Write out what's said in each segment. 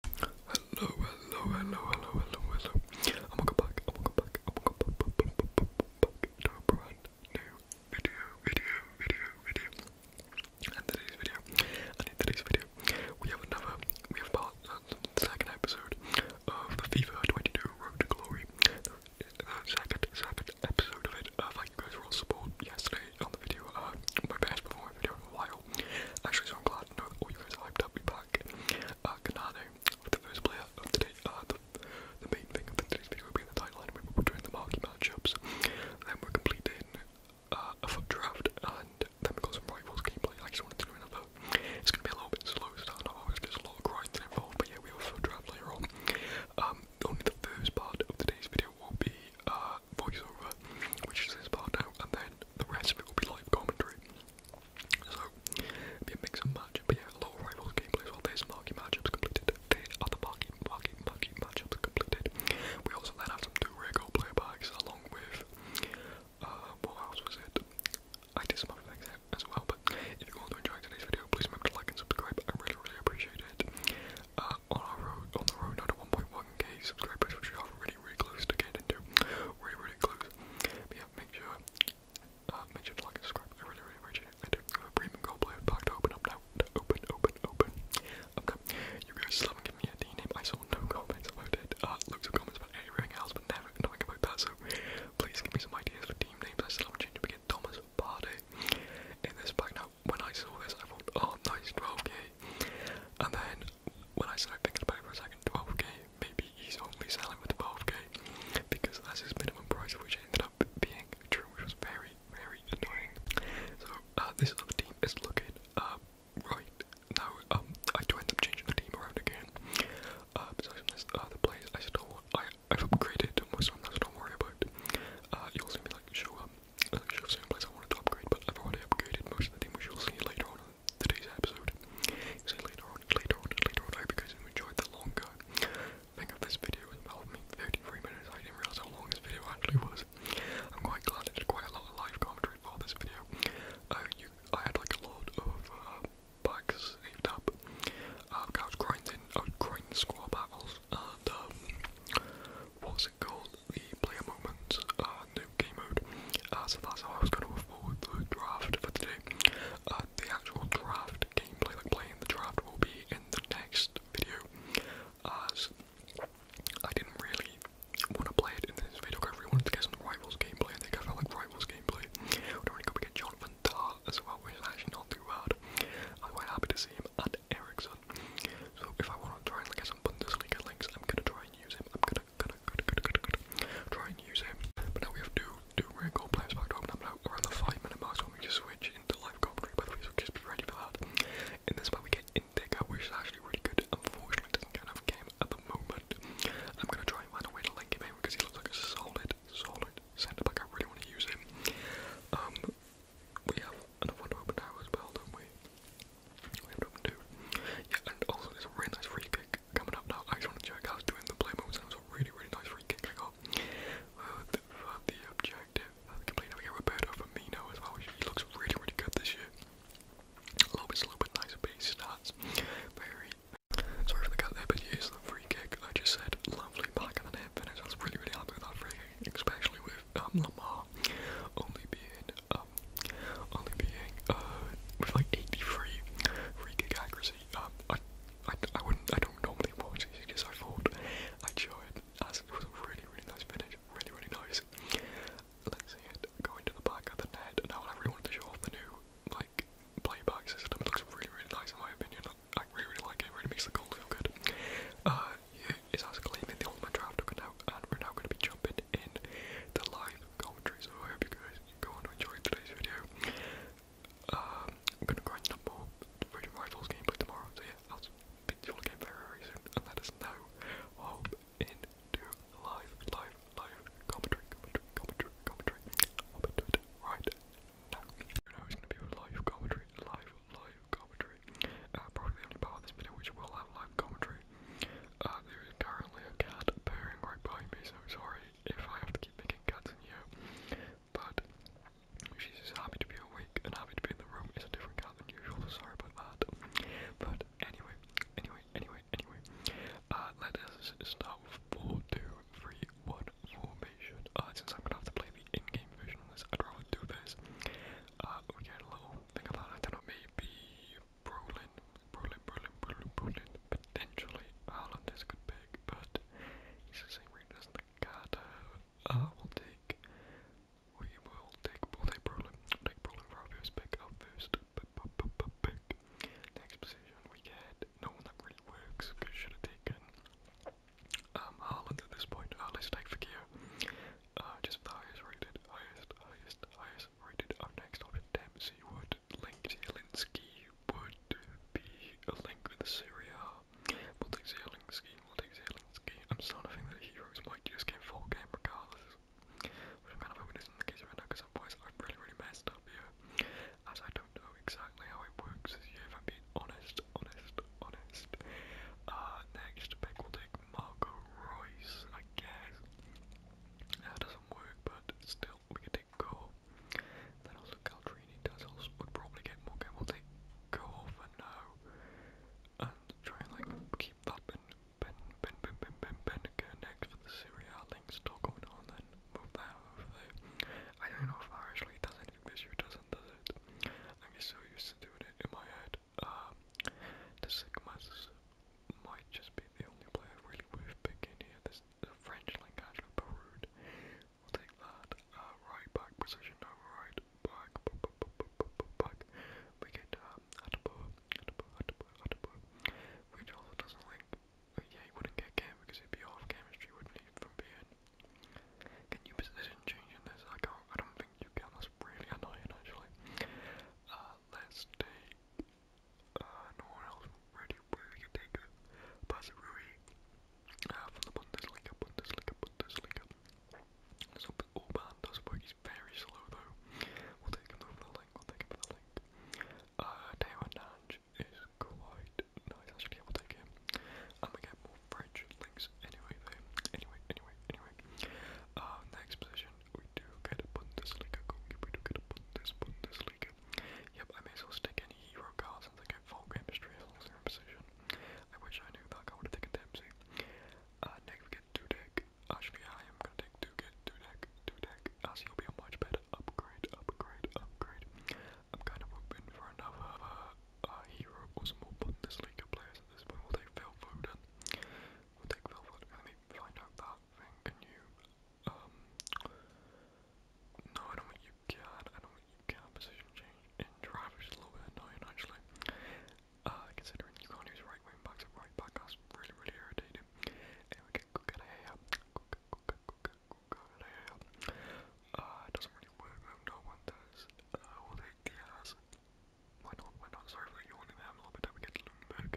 Hello, hello, hello, hello, hello, hello. I'm gonna go back, I'm gonna go back, I'm gonna go back, back, back, back, back to brand new video, video, video, video. And today's video, and today's video, we have another, we have part, uh, the second episode of FIFA 22 Road to Glory. The, second, second episode of it. Uh, thank you guys for all support yesterday on the video. Uh, my best performance video in a while. Actually, so I'm glad to know all you guys are hyped up. We back. Uh, Kanane, the first player of today. Uh, the, the main thing of today's video will be in the timeline. We will be doing the marquee matchups. Then we're completing uh, a foot draft, and then we got some rivals gameplay. I just wanted to do another. It's gonna be a little bit slow, so I know always gets a lot of grinding involved. But yeah, we have a foot draft later on. Um, only the first part of today's video will be uh voiceover, which is this part now, and then the rest of it will be live commentary. So, be a mix and match. But a lot of rivals gameplay as well. There's marquee matchups completed. other marquee, marquee, marquee matchups completed. We also then had some two rare player bags along with, uh, what else was it? I did some other things as well, but if you want to enjoy today's video, please remember to like and subscribe. I really, really appreciate it. Uh, on our road, on the road now 1.1 1k subscribers, which we are really, really close to getting to. Really, really close. But yeah, make sure, uh, make sure to like and subscribe. I really, really appreciate it. I do have a premium gold player pack to open up now. To open, open, open. Okay, you guys still haven't given me a D name. I saw no comments about it. Uh, loads of comments about everything else, but never knowing about that. So please give me some ideas for team names. I still haven't changed it. We get Thomas Party in this pack now. When I saw this, I thought, oh, nice 12k. And then when I started thinking about for a second, 12k, maybe he's only selling for 12k because that's his minimum price, which ended up being true, which was very, very annoying. So uh, this other team is looking uh, right now. Um, I do end up changing the team around again. Uh, um, besides from this, uh, the players I still want, I, I've upgraded most of them, so don't worry about it. Uh, you'll see me like show um, like show same place. I wanted to upgrade, but everyone upgraded most of the team, which you'll see later on today's episode. See you later on, later on, later on. I hope you the longer thing of this video as well. I 33 minutes, I didn't realise how long this video actually was. I'm quite glad I did quite a lot of live commentary for this video. Uh, I had like a lot of uh, saved up. Um, grinding, grinding squad battles and um, what's it called? the player moments, uh, new game mode. Uh, so that's how I was going to forward the draft for today. Uh, the actual draft gameplay, like playing the draft, will be in the next video. As I didn't really want to play it in this video because I wanted to get some Rivals gameplay. I think I felt like Rivals gameplay. We're already going to get Jonathan Tart as well, which is actually not too bad. I'm quite happy to see him and Ericsson. So if I want to try and get some Bundesliga links, I'm going to try and use him. I'm going Try and use it. But now we have two, two rare players back to open up now around the five minute mark, so I'm switch into live commentary, by the way, so just be ready for that. In this part, we get Indica, which is actually really good. Unfortunately, doesn't kind of game at the moment. I'm going to try and find a way to link him in because he looks like a solid, solid centre back. I really want to use him. Um, we have another one to now as well, don't we? Yeah, and also there's really nice free kick coming up now. I just want to check out doing the play moves, it was a really, really nice free kick I got. Uh, uh, the, objective, uh, the complete navigator Roberto Firmino as well. He looks really, really good this year. A little bit slow, but nice base stats. Very. Sorry for the cut there, but here's the free kick. I just said lovely back of the net finish. I was really, really happy with that free kick, especially with um, only being um, only being uh, with like 83 free kick accuracy. Um, I, I, I wouldn't, I don't normally watch these because I thought I'd show as it was really, really nice finish, really, really nice. Let's see it go into the back of the net. Now I really wanted to show off the new like playback system. It looks really, really nice in my opinion. I really, really like it. really makes the goal feel good. Uh, yeah, it's actually in the ultimate draft now, and we're now going to be jumping in the live commentary. So I hope you guys go on to enjoy today's video. Um, I'm gonna grind up more Virgin Rivals gameplay tomorrow, so yeah, I'll speak you all again very, soon and let us know. Hope into live, live, live commentary, commentary, commentary, commentary. right now. it's gonna be live commentary, live, live commentary. Uh, probably the only part of this video which will have live commentary uh, there is currently a cat purring right by me, so sorry if I have to keep making cuts in here. But she's just happy to be awake and happy to be in the room. It's a different cat than usual, so sorry about that. But anyway, anyway, anyway, anyway. Uh, let us start with 4, 2, 3, 1 formation. Uh, since I'm gonna have to play the in-game version on this, I'd rather do this. Uh, we get a little thing about, I don't know, maybe Brolin, Brolin, Brolin, Brolin, Brolin, potentially Ireland is a good pick, but he's the same rating as the ah, Carter. I will take, we will take, we'll Brolin, we'll Brolin for our first pick, up first pick. Next position we get, no one that really works, because should have taken um, Ireland at this point, uh, let's take Fakir. just highest rated, highest, highest, highest, rated our next option Dempsey would link Zielinski would be a link with Syria. we Zielinski, we Zielinski. I'm starting to think that heroes might just get full game regardless. Which I'm kind of hoping isn't the case right now because otherwise I've really really messed up here. As I don't know exactly how it works if I'm being honest, honest, honest. Uh next pick we'll take Marco Royce, I guess doesn't work, but still, we can take Go. Then also Caltrini does also would probably get more game. We'll take Go for now. Uh, and try and like keep that bin bin bin bin bin bin bin next for the Syria thing still going on then. Move that over there. I don't know if that actually does anything this year doesn't does it? I'm just so used to doing it in my head. Um the Sigma's might just be the only player really worth picking here. There's the French Lancashire Baroud. We'll take that. Uh, right back position, no right back. back. We get um, Attenborough, Attenborough, Attenborough, Attenborough. Which also doesn't link. But oh, yeah, he wouldn't get game because he'd be off chemistry, wouldn't he, from being. Can you position change in this? I can't. I don't think you can. That's really annoying, actually. Uh, let's take uh, no one else really, really can take it. Pasarui uh, ah, from the Bundesliga, Bundesliga, Bundesliga. So Orban does work, he's very slow though. We'll take him over the link, we'll take him for the link. Uh, Teo Nange is quite nice, actually, yeah, we'll take him. And we get more French links anyway, though. Anyway, anyway, anyway. Uh, next position we do get a Bundesliga cookie, we do get a Bundes, Bundesliga. Yep, I may as well stick any hero cards since I get full game history as long as they're in position. I wish I knew that, I would have taken Dempsey. Uh, next we get Dudek. Actually, I am gonna take Dudek, Dudek, Dudek, as he'll be a much better upgrade, upgrade, upgrade. I'm kind of hoping for another uh, uh, hero or some more Bundesliga players at this point. We'll take Phil Foden. We'll take Phil Foden. Let me find out that thing. Can you um, no, I don't want you card. I don't want you card position change. And drive is a little bit annoying actually. Uh, considering you can't use right wing backs and right back, that's really really irritating. And we can cook it here. Cook, cook, cook, cook it here. Uh, it doesn't really work though. No one does. Uh, all the Diaz. Why not? Why not? Sorry for yawning there. I'm a little bit. Then we get Lundberg.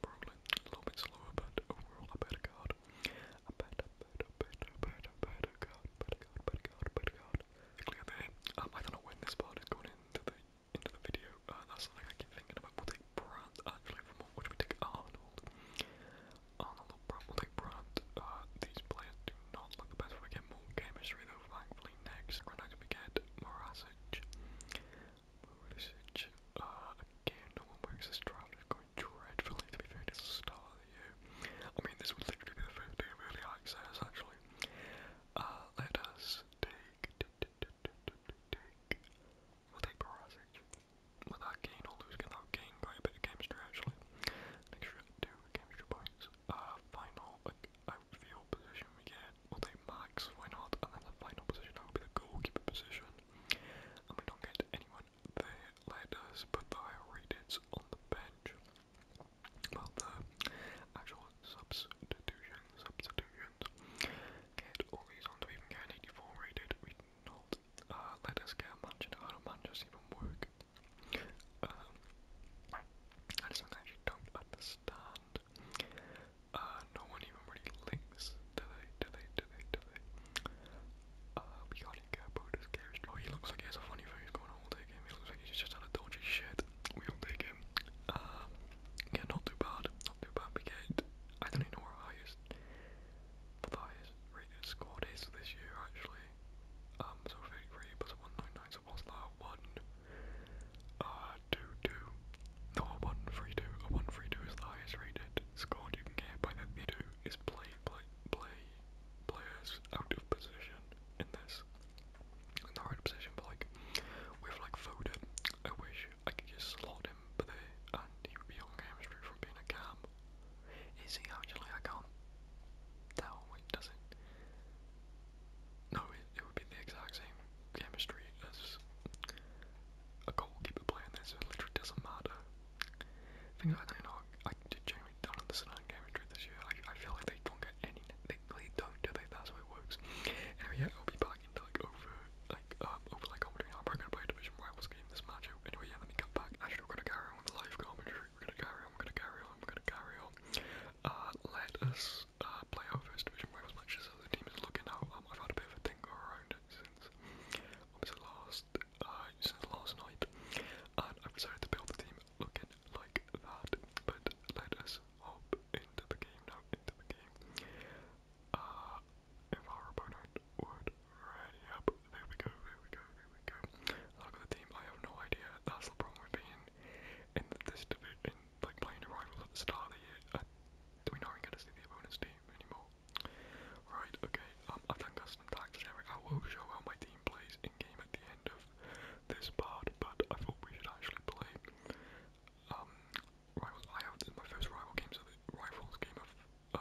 probably a little bit slower, but overall a better card. A better, better, better, better, better card, better card, better card, better card. Clear there. Um, I don't know when this part is going into the into the video. Uh, that's something I keep thinking about. We'll take Brandt uh, actually from what we take Arnold. Arnold or Brandt, Uh, these players do not look the best. We get more chemistry though, thankfully next. Right now we get Morasic. Moon uh, again, no one works this trial is going dreadfully, to be fair, it's the start of the I mean, this would literally be the first day of early access, actually. Uh, let us take... take... We'll take Parasage. Will that gain or lose? Can that gain by a bit of chemistry, actually? An extra two chemistry points. Uh, final, like, outfield position we get although Max, why not? And then the final position will be the goalkeeper position. And we don't get anyone there. Let us put the higher ratings on the bench. Well, the actual substitution, substitutions. Get all on. we even get 84 rated? We not. Uh, let us get a How do Manchester even work? Um, I just actually don't understand. Uh, no one even really links, do they, do they, do they, do they? Uh, we can't even get a Buddha's scary Oh, he looks like he has a funny face going on, we'll take him. He looks like he's just had a dodgy shit. We'll take him. Um, yeah, not too bad, not too bad. We get, I don't even know where our highest, what the highest rated squad is this year, actually. Um, so 33 plus 199, so what's that? 1, uh, 2 2. No, a 1 3 2. A 1 3 2 is the highest rated score you can get by the theater is play, play, play, players out of position in this. In the right position, but like, with like Foden, I wish I could just slot him for there and he would be on game street from being a cam. Is he actually? I can't tell. Wait, does it? No, it, it would be the exact same chemistry as a goalkeeper playing there, so it literally doesn't matter. I think I don't know. I genuinely don't understand chemistry this year. I, I feel like they don't get any. They, they don't do they. That's how it works. Anyway, yeah, I'll be back into like over like um over like commentary. I'm probably gonna play a division rivals game this match. Anyway, yeah, let me cut back. Actually, we're gonna carry on with live commentary. We're gonna carry on. We're gonna carry on. We're gonna carry on. Uh, let us uh, play our first division wave as much as the team is looking out. Um, I've had a bit of a think around it since the last uh, the last night, and I've decided to build the team looking like that. But let us hop into the game now. Into the game. Uh, if our opponent would ready up, there we go. There we go. There we go. Look at the team. I have no idea. That's the problem with being in this division like playing Arrival at the start of the year, uh, we know we're to see the opponent's team anymore. Right, okay, um, I've done custom tags there. will show how my team plays in game at the end of this part, but I thought we should actually play. Um, rivals. I have my first rival game, so the rivals game of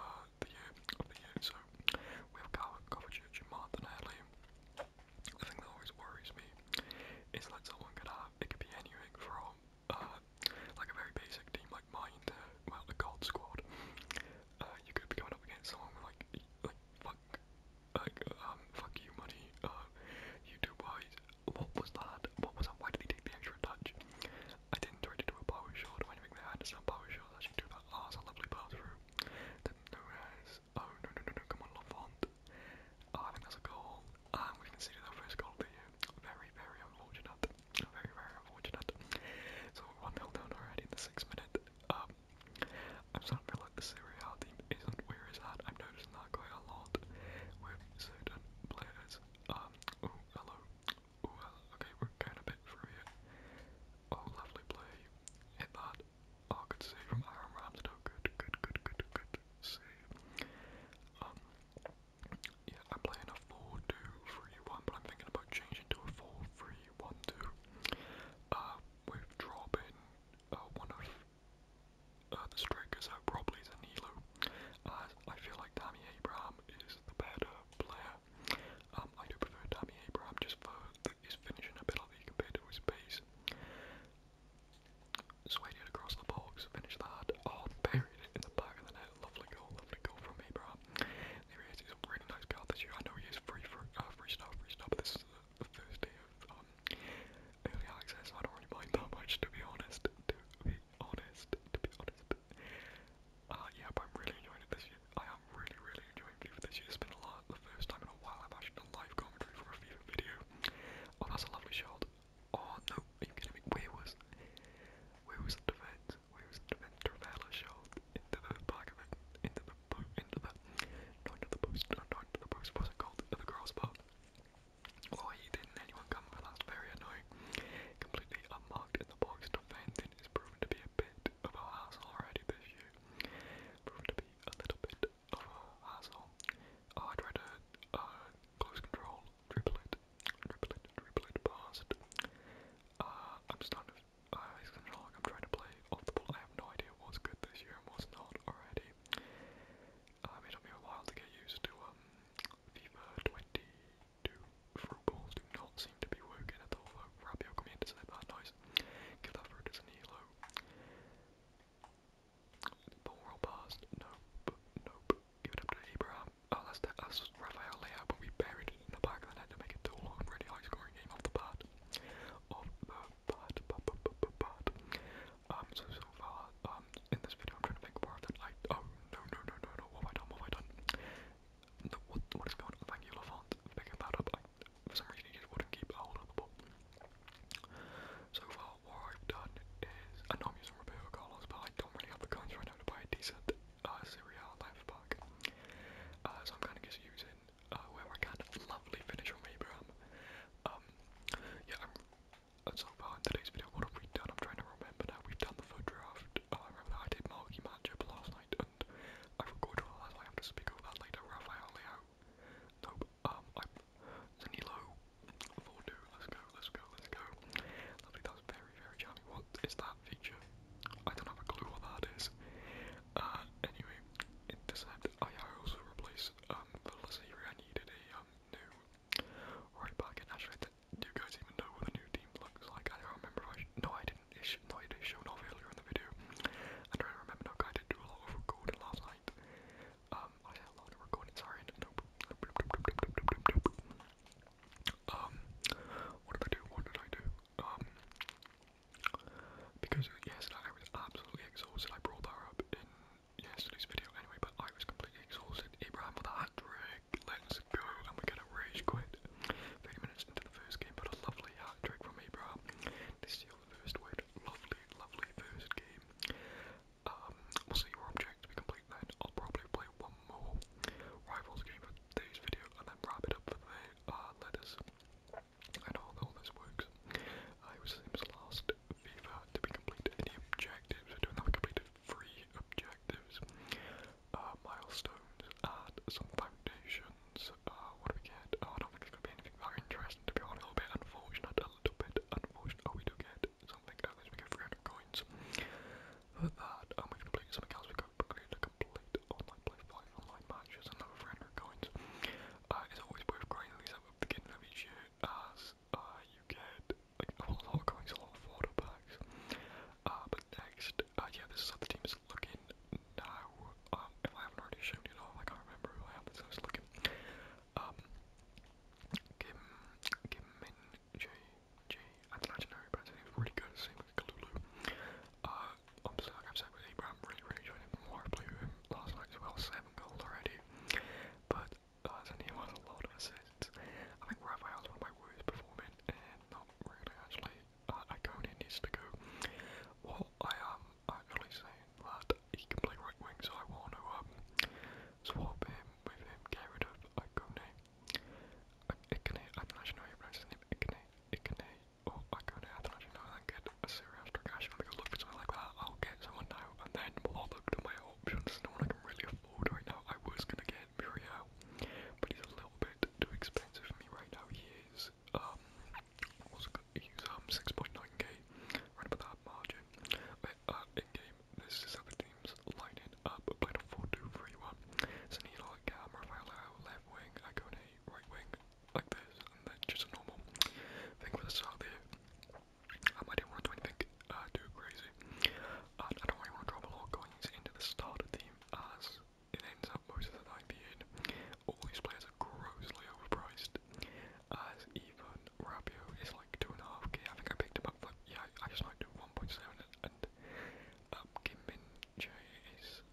uh, the year of the year. So we have Kovacic and Martin Alley. The thing that always worries me is that someone could have it could be anything from uh, like a very basic team like mine to, well, a god squad, uh, you could be going up against someone with like, like, fuck, like, um, fuck you money, uh, YouTube-wise, what was that, what was that, why did he take the extra touch? I didn't try to do a power shot or anything there, I understand power shots, I should do that, ah, oh, it's a lovely pass through, didn't notice, oh, no, no, no, no, come on, Lafont, oh, I think that's a goal, and ah, we conceded our first goal Very, very unfortunate. Very, very unfortunate. So 1 0 down already in the sixth minute. Um, I'm starting to feel like the Serie team isn't where it's at. I'm noticing that quite a lot with certain players. Um, hello. Oh, Okay, we're going a bit through Oh, lovely play. Hit that. Oh, good save from Aaron Ramsdale. Good, good, good, good, good save. Um, yeah, I'm playing a 4 3 1, but I'm thinking about changing to a 4 3 1 2. Uh, with dropping uh, one of uh, the strikers out, probably Zanilo, as I feel like Tammy Abraham is the better player. Um, I do prefer Tammy Abraham just for the, his finishing ability compared to his pace. Swayed across the box, finish that. Oh, Bay in the back of the net. Lovely goal, lovely goal from Abraham. he is, he's a really nice guy this year. I know he is free for uh, free stuff, free stuff, but this is the, first day of um, early access. I don't mind that much, to be honest. To be honest, to be honest. Uh, yeah, I'm really enjoying it this year. I am really, really enjoying FIFA this year. It's been a lot, the first time in a while I've actually live commentary for a FIFA video. Oh, that's a lovely shot. Oh no, are you kidding me? Where was where was the defense? Where was the defense? Traveller shot into the back of it, into the boot, into the not into the post, not into the post. What's it called? Into the crossbar. Oh, he didn't. Anyone come? But that's very annoying. Completely unmarked in the box. Defending is proven to be a bit of a hassle already this year. Proven to be a little bit of a hassle. Oh, I tried to uh, close control Triplet, triplet, triplet passed. Uh, I'm starting to, uh, I'm trying to play off the ball. I have no idea what's good this year and what's not already. Um, uh, it'll be a while to get used to, um, FIFA 22. Through balls do not seem to be working at all, though. Rabio coming in that, nice. Give that through to Zanilo. Ball roll past, nope, Give it up to Abraham, Oh, that's that. That's Rafael Leao, but we buried it in the back of had to make it too long 1. Really high scoring game off the bat. Off the bat, bat, bat, bat, Um, so, so far, um, in this video, I'm trying to think more than I. Oh, no, no, no, no, no. What have I done? What have I done? what, what is going on? Thank you, Lafont, for picking that up. for some reason, he just wouldn't keep hold the ball. So far, what I've done is. I know I'm using Roberto Carlos, but I don't really have the coins right now to buy a decent uh, cereal life pack. Uh, so I'm kind of just using uh, where I can. Lovely finish from Abraham. Um, yeah, I'm. So far in today's video, what have we done? I'm trying to remember now. We've done the food draft. Uh, I remember I did Marky Matchup last night, and I recorded all that, I have to speak over that later. Raphael Leo. Nope. Um, i two, let's go, let's go, let's go. Lovely, that's very, very charming. What is that feature? I don't have a clue what that is. Uh, anyway, intercept. I also replaced um Velocity. I needed a um new right back, and actually, do you guys even know what the new team looks like? I don't remember. I no, I didn't. It's no, it is earlier in the video. I'm trying to remember. No, I did do a lot of recording last night. Um, I had a lot of recording. Sorry, um, what did I do? What did I do? Um, because yesterday I was absolutely exhausted. I brought that up in yesterday's video anyway, but I was completely exhausted. Abraham with a hat trick. Let's go. And we get a rage quit. 30 minutes into the first game, but a lovely hat trick from Abraham. They steal the first win. Lovely, lovely first game. Um, we'll see object to be complete then. I'll probably play one more Rivals game for today's video and then wrap it up for the uh, letters and all, this works. I was Sims last FIFA to be complete any objectives. We're doing that we completed three objectives, uh, milestones, and some foundations. Uh, what do we get? Oh, I don't think it's going be anything interesting to be honest. A little bit unfortunate, a little bit unfortunate. Oh, we do get forget oh something else. We got 300 coins. For that, um, we can play something else. We got create a complete online play five online matches. Another 300 coins. Uh, it's always worth grinding these up at the beginning of each year, as uh, you get like a lot of coins, a lot of water packs. Uh, but next, uh, yeah, this is how the team is looking now. Um, if I haven't already shown it all, I can't remember who I have. This is how it's looking. Um. Kim, Kim Min Jae, G. I'd like to know, but it was really good. Same with Kalulu. Uh, obviously, like I've said with Abraham, really, really enjoyed him more. I played with him last night as well, seven goals already. But uh, Zanino has a lot of assists. I think Raphael's one of my worst performing, and not really actually. Uh, Iconian needs to go. Well, I am um, actually saying that he can play right wing, so I want to um, swap him with him, get rid of Iconian. Ikane, I'm not sure how you pronounce his name. Ikane, Ikane, oh, Akane, I don't actually know how to get a serious progression because look at something like that, I'll get someone now, and then we'll all look to my options. There's no one I can really afford right now. I was gonna get Muriel, but he's a little bit too expensive for me right now. He is, um, what's it called? He's, um, 6.9k, right about that margin. But, uh, in game game. This is how the team's lining up. I played a 4-2-3-1. So I need like um, Rafael left wing, I go in a right wing, like this, and then just a normal thing for the start of the year. Um, I didn't want to do anything uh, too crazy. And I don't really want to drop a lot going into the starter team as it ends up most of the time being all these players are grossly overpriced. As even Rabio is like like 2.5k. I think I picked him up for, yeah, I just might do 1.7 and um, Kim Min Jae is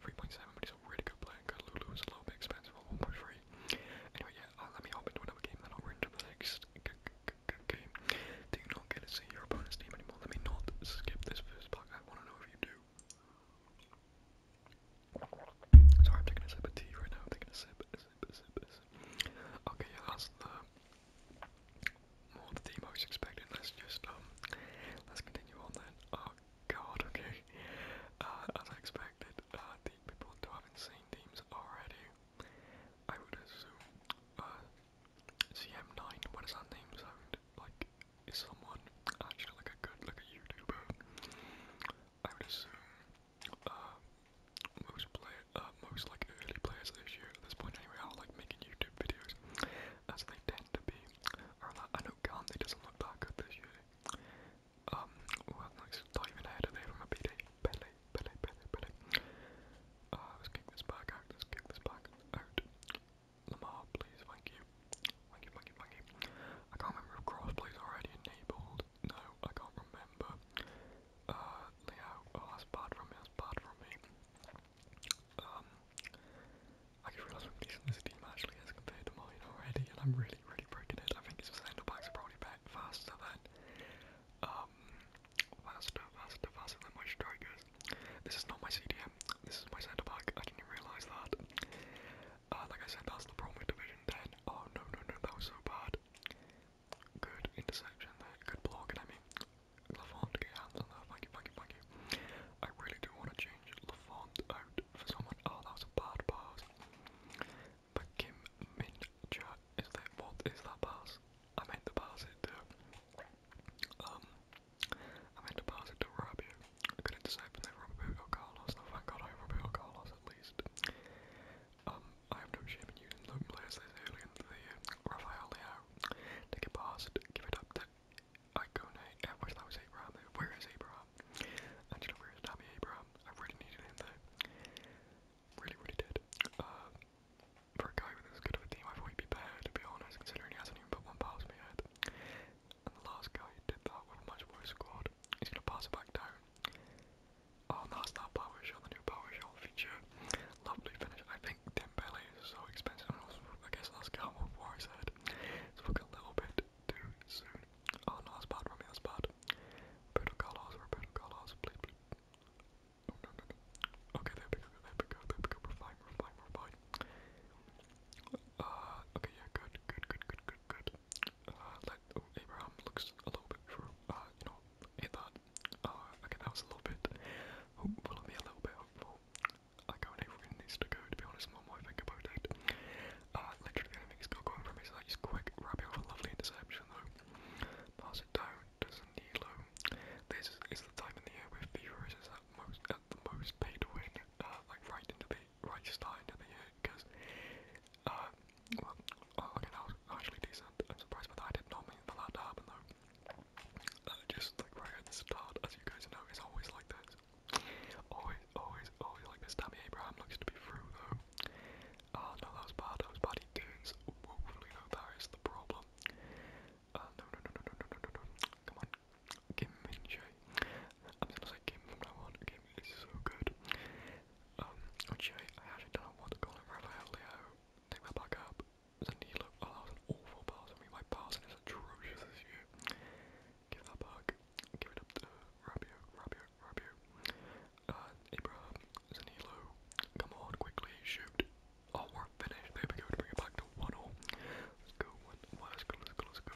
3.7, but he's a really good player. Good Lulu is a little bit expensive at 1.3. Anyway, yeah, uh, let me hop into another game, then I'll into the next game. Do you not get to see your opponent's name anymore? Let me not skip this first part. I want to know if you do. Sorry, I'm taking a sip of tea right now. I'm taking a sip, a sip, a sip, a sip. Okay, yeah, that's the more the most expected. Let's just um, let's continue on then. Oh God, okay. Uh, as I expected, uh, the people do have insane teams already. I would assume uh, CM9. What does that name sound like? Is someone actually like a good like a YouTuber? I would assume uh, most play uh, uh, most like early players this year at this point anyway are like making YouTube videos as they tend to be. I know Gandhi doesn't look that good this year. Um, well, nice diving ahead of there from a BD. Belly, belly, belly, belly. Uh, let's kick this back out, let's kick this back out. Lamar, please, thank you. Thank you, thank you, thank you. I can't remember if Crossplay's already enabled. No, I can't remember uh, yeah, oh, that's bad for me, that's bad for me. Um, I can realise how decent this actually is compared to mine already, and I'm really, really breaking it. I think it's just the backs are back faster than, um, faster, faster, faster than my strikers. This is not my CDM, this is my centre I didn't even realise that. Uh, like I said, that's the problem Division 10. Oh no, no, no, that was so bad. Good interception there. Good block, and I mean, Lafont, get hands on that. Thank you, thank you, thank you. I really do want to change Lafont out for someone. Oh, that was a bad pass. But Kim Min Cha is there. What is that pass? I meant to pass it to. Um, I meant to pass it to Rabiot. I could intercept and then Roberto Carlos. Now, thank God I have Roberto Carlos at least. Um, I have no shame in using loan players this early in the year. Uh, Rafael Leao Take a pause, give it up that Icone, I uh, wish that was Abraham, where is Abraham? Angela, where is Tommy Abraham? I really needed him though. Really, really did. Uh, for a guy with as good of a team, I thought he'd be better, to be honest, considering he hasn't even put one past me yet. And the last guy who did that with a much worse squad. He's gonna pass it back down. Oh, and that's that power shot, the new power shot feature. Lovely finish. I think Dembele is so expensive. I, guess that's Calmo before I said. It's looking a little bit too soon. Oh no, that's bad for me, that's bad. Pedro Carlos, Roberto Carlos, please, please. Oh, no, no, no. Okay, there we there there we are fine, we're fine, we're fine. Uh, okay, yeah, good, good, good, good, good, good. Uh, let, oh, Abraham looks a little bit true. Uh, you know, hit that. Uh, okay, that was a little bit hopeful of me, a little bit hopeful. I can't even win this to go, to be honest, I'm on my finger about it. Uh, literally, the enemy is still going for me, so that's quick, wrapping off a lovely interception, though. Pass it down to Zanilo. This is, is the time in the year where FIFA is at, most, at the most pay to win, uh, like right into the right start into the year, because, uh, well, oh, okay, that was actually decent. I'm surprised by that. I did not mean for that to happen, though. Uh, just like right at the start, as you guys know, it's always like this. Always, always, always like this. Tammy Abraham looks to be through though. Ah, uh, no, that was bad. That was bad. He turns woefully though. That is the problem. Uh, no, no, no, no, no, no, no, no, no. Come on. Kim Minche. I'm just gonna say Kim from now on. Kim is so good. Um, okay, I actually don't know what to call him. Raphael Leo. Take that back up. The oh that was an awful pass, I mean my passing is atrocious this year. Give that back, give it up to Rabio, Rabio, Rabio. And Abraham, Zanilo, come on quickly, shoot. Oh we're finished, there we go bring it back to 1-0. Let's go, let's go, let's go, let's go.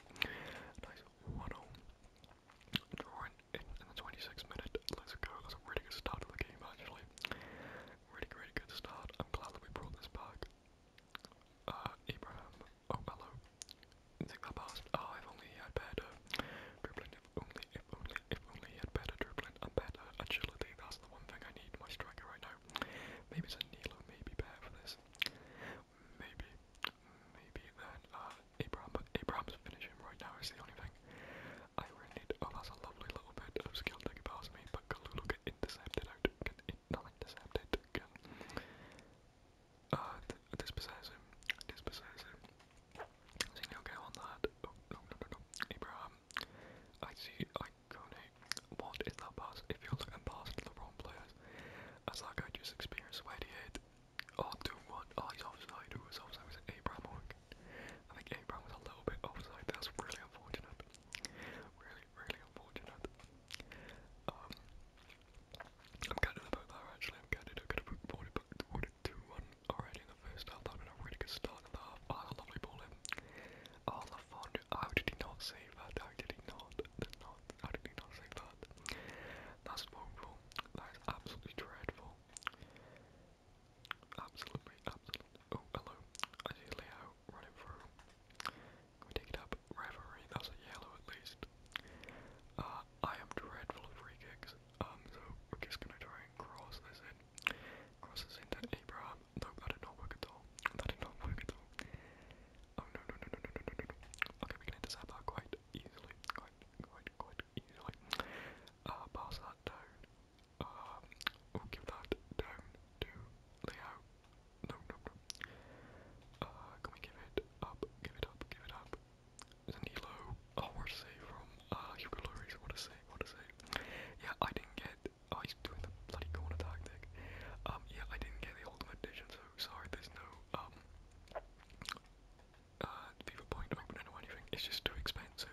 Nice, 1-0. Drawing in, in the 26th minute, let's go, that's a really good start to the game actually. Really, really good start. I'm glad that we brought this back. Uh, Abraham. Oh, hello. Think that past. Oh, if only he had better dribbling. If only, if only, if only he had better dribbling and better agility. That's the one thing I need my striker right now. Maybe it's a Nilo, maybe better for this. Maybe, maybe then, uh, Abraham, but Abraham's finishing right now is the only thing. I read it. Oh, that's a lovely little bit of skill to get past me, but Kalulu get intercepted Get in, intercepted. Can uh, dispossess him. Dispossess him. Zeno go on that. Oh, no, no, no, no. Abraham. I see. I Kone. What is that pass? If you're looking past the wrong players, as like I just experienced, where do you hit? Oh, 2 1. Oh, he's offside. Who was offside? Was it Abraham I think Abraham was a little bit offside. That's really unfortunate. Really, really unfortunate. Um, I'm gutted about that actually. I'm gutted. I could have boarded, boarded 2 1 already in the first half. That would have been a really good start in the half. Ah, oh, lovely ball in. Oh, LaFond. How did he not save that? How did he not? Did not how did he not save that? That's woeful. That is absolutely dreadful. Absolutely, absolutely. Oh, hello. I see Leo running through. Can we take it up? Reverie, that's a yellow at least. Uh, I am dreadful at free kicks. Um, so we're just gonna try and cross this in. Cross this into Abraham. No, that did not work at all. That did not work at all. Oh no no no no no no no no. Okay, we can intercept that quite easily. Quite quite quite easily. Uh pass that down. Um, give that down to layout. No, no, no. Uh, can we give it up? Give it up, give it up. Zanilo, oh, what to say from uh, Hugo what to say, what to say. Yeah, I didn't get, oh, he's doing the bloody corner tactic. Um, yeah, I didn't get the Ultimate Edition, so sorry, there's no, um, uh, FIFA Point opener or anything, it's just too expensive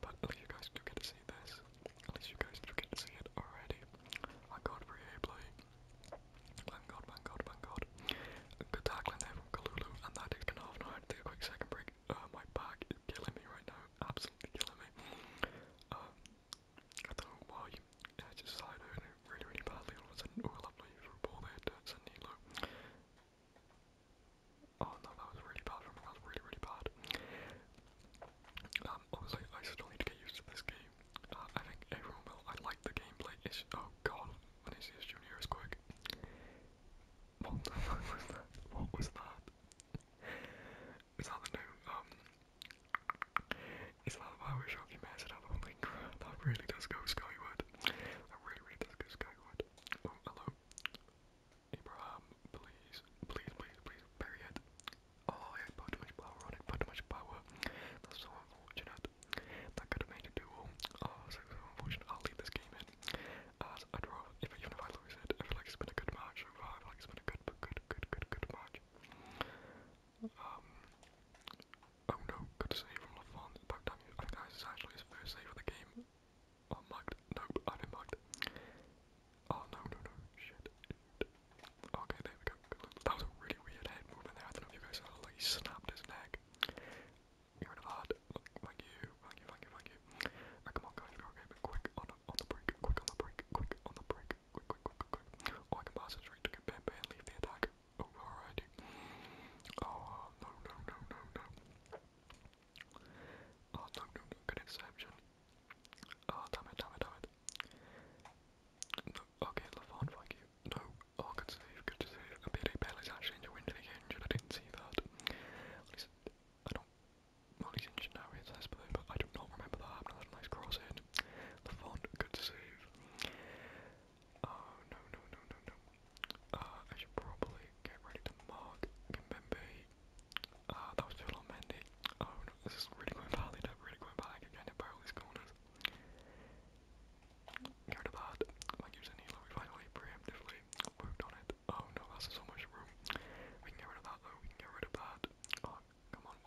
But at oh, least you guys do get to see this. At least you guys do get to see it already. I got free play. Thank god, thank god, thank god. Good tackling there from Kalulu, and that did kind of nine. Take a quick second break. Uh, my back is killing me right now. Absolutely killing me. Um, I don't know why. Yeah, just started doing really, really badly all of a sudden. Oh, lovely through ball there to Sanilo. Oh no, that was really bad. That was really, really bad. Um, obviously, I still need to get used to this game. Uh, I think everyone will. I like the gameplay. It's oh god, Vinicius Junior is quick. What the fuck was that? What was that? Is that the new um? Is that the power shock you messed up? Holy crap! That really does go skyward. That really, really does go skyward. Oh hello. Abraham, please, please, please, please bury it. Oh, I put too much power on it, put too much power. That's so unfortunate. That could have made a duel. Oh, so, so unfortunate. I'll leave this game in. As I draw, if, even if I lose it, I feel like it's been a good match so far. I feel like it's been a good, good, good, good, good match. Um. Oh no, good save from LaFont. About time, I think that is actually his first save of the game. I'm mugged. Nope, I've been mugged. Oh no, no, no, shit. Okay, there we go. That was a really weird head movement there. I don't know if you guys saw like he snapped his neck. You're in a hard. Thank you, thank you, thank you, thank you. Right, come on, guys, go okay, but quick on, on the break, quick on the break, quick on the break, quick, quick, quick, quick. Oh, I can pass it straight to get Pepe and leave the attack. Oh, alrighty. Oh, no, no, no, no, no. Oh, no, no, no, good interception. Oh, damn it, damn it, damn it. No, okay, LaFon, thank you. No, oh, good save, good save. And Payday Bell is actually in the wind again, injured, I didn't see that. At least, I don't, well, he's injured now, he's less played, but I do not remember that happening. That's a nice cross in. LaFon, good save. Oh, no, no, no, no, no. Uh, I should probably get ready to mark Kimbembe. Uh, that was Phil on Mendy. Oh no, this is really going badly, they're really going back again at all these corners. Go to that. Like using Hilo, we finally preemptively worked on it. Oh no, that's so much room. We can get rid of that though, we can get rid of that. Oh, come on.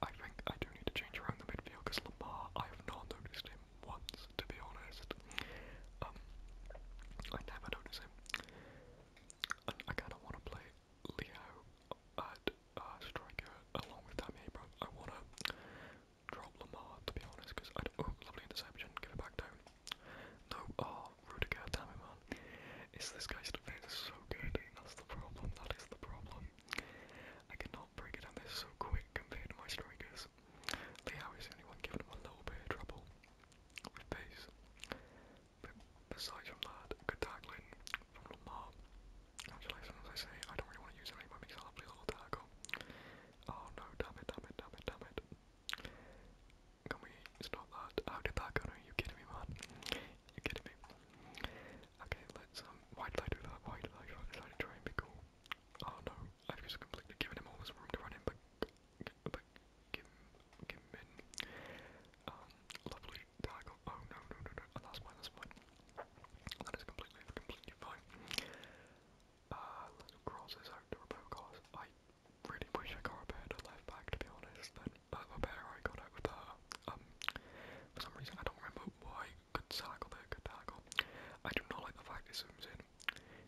I think I do need to change around the midfield because Lamar, I have not noticed him once, to be honest. Um, I never notice him. And I kind of want to play Leo at uh, uh, striker along with Tammy Abram. I want to drop Lamar, to be honest, because I don't... Oh, lovely interception. Give it back down. No, oh, Rudiger, damn it, man. It's this guy's defense is so good. That's the problem. That is the problem. I cannot break it down. They're so quick compared to my strikers. Leo is the only one giving them a little bit of trouble with pace. But aside from that, good tackling from Lamar. Actually, sometimes I say I don't really want to use him anymore because I'll play little tackle. Oh no, damn it, damn it, damn it, damn it. Can we stop that? How did that go? Are you kidding me, man? You kidding me? Okay, let's, um, why did I do that? Why did I, I decided to try and be cool? Oh no, I've just completely given him all this room to run in, but but Kim, Kim Min. Um, lovely diagonal. Oh no, no, no, no. That's fine, that's fine. That is completely, completely fine. Uh, let's cross this out to Robocars. I really wish I got a better left back, to be honest. Then uh, a better I got out with her. Um, for some reason I don't remember why. Good tackle there, good tackle. I do not like the fact it zooms in.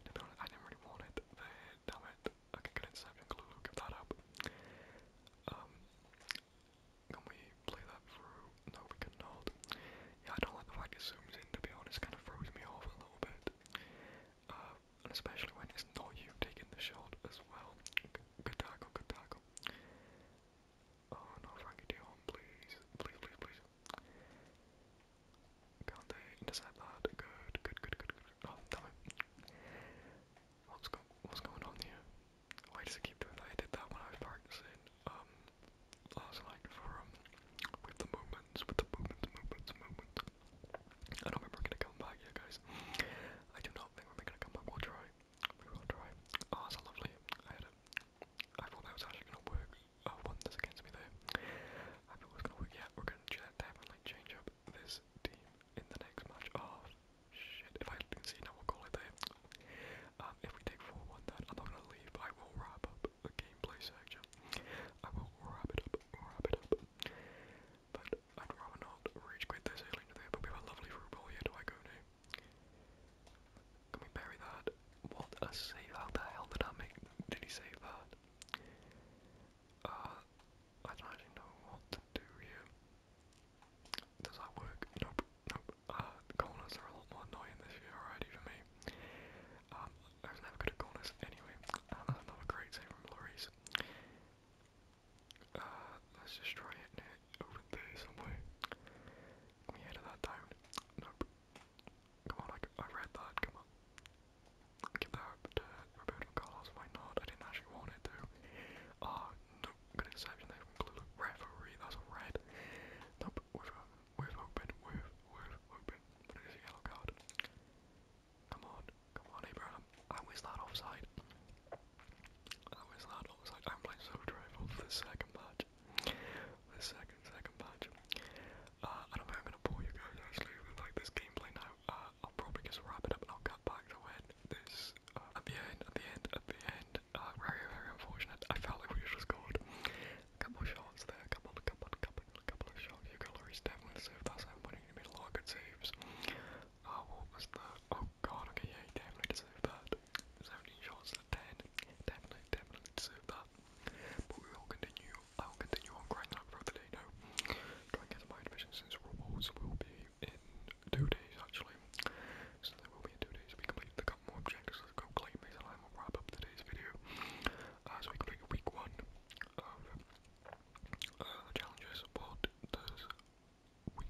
To be honest, I didn't really want it. There, damn it. I can get Insect and Glulu, give that up. Um, can we play that through? No, we cannot. Yeah, I don't like the fact it zooms in, to be honest, kind of throws me off a little bit. Uh, and especially when it's not you taking the shot as well. Good tackle, good tackle. Oh no, Frankie Dion, please, please, please, please. Good, good, good, good, good. Oh, damn it. What's, going on here? Why does it keep doing that? that when I was practicing um, last night for um, with the movements, with the movements, movements, movements. I don't remember gonna come back here, guys. I do not think we're gonna come back. We'll try. We will try. Oh, that's lovely. I had it. I thought that was actually gonna work. Oh, one that's against me there. I thought it was gonna work. Yeah, we're gonna do that. Definitely change up this team in the next match. Oh, shit. If I can see now, we'll call it there. Um, if we take 4 1, then I'm not gonna leave. I will wrap up the gameplay section. I will wrap it up, wrap it up. But I'd not rage quit this alien today, but we have a lovely through here. Do I go Can we bury that? What a save! How the hell did I make? Did he save that? Uh, I don't actually know what to do here. Does that work? Nope, nope. Uh, corners are a lot more annoying this year already for me. Um, I was never good at corners anyway. And that's another great save from Lloris. Uh, let's just try hitting it over there somewhere. Can we head that down? Nope. Come on, I, I read that, come on give that to uh, Roberto Carlos, why not? I didn't actually want it to. Uh, ah, no, good exception there from Glulu. Referee, that's red. Nope, we've, um, we've open, we've, we've open. But it is a yellow card. Come on, come on, Abraham. How is that offside? How is that offside? I'm playing so dreadful for the second match. The second, second match. I uh, don't think I'm gonna bore you guys actually with like this gameplay now. Uh, I'll probably just wrap it up and I'll cut back to when this, uh, at the end, at the end, at the end, uh, very, very unfortunate, I felt like we just scored a couple of shots there, a couple, a couple, a couple, of shots, Hugo Lloris definitely saved that seven point, he made a lot of good saves, uh, what was the, oh god, okay, yeah, definitely deserved that, 17 shots to 10, definitely, definitely deserved that, but we will continue I will continue on grinding up the day now. Try and to my admission since rewards will be in two days actually. So there will be in two days we complete the couple more objectives go claim these and I will wrap up today's video. Uh, we complete week one of uh, challenges. What does week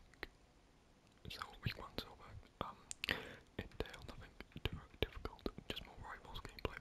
so week one silver um entail nothing too difficult, just more rivals gameplay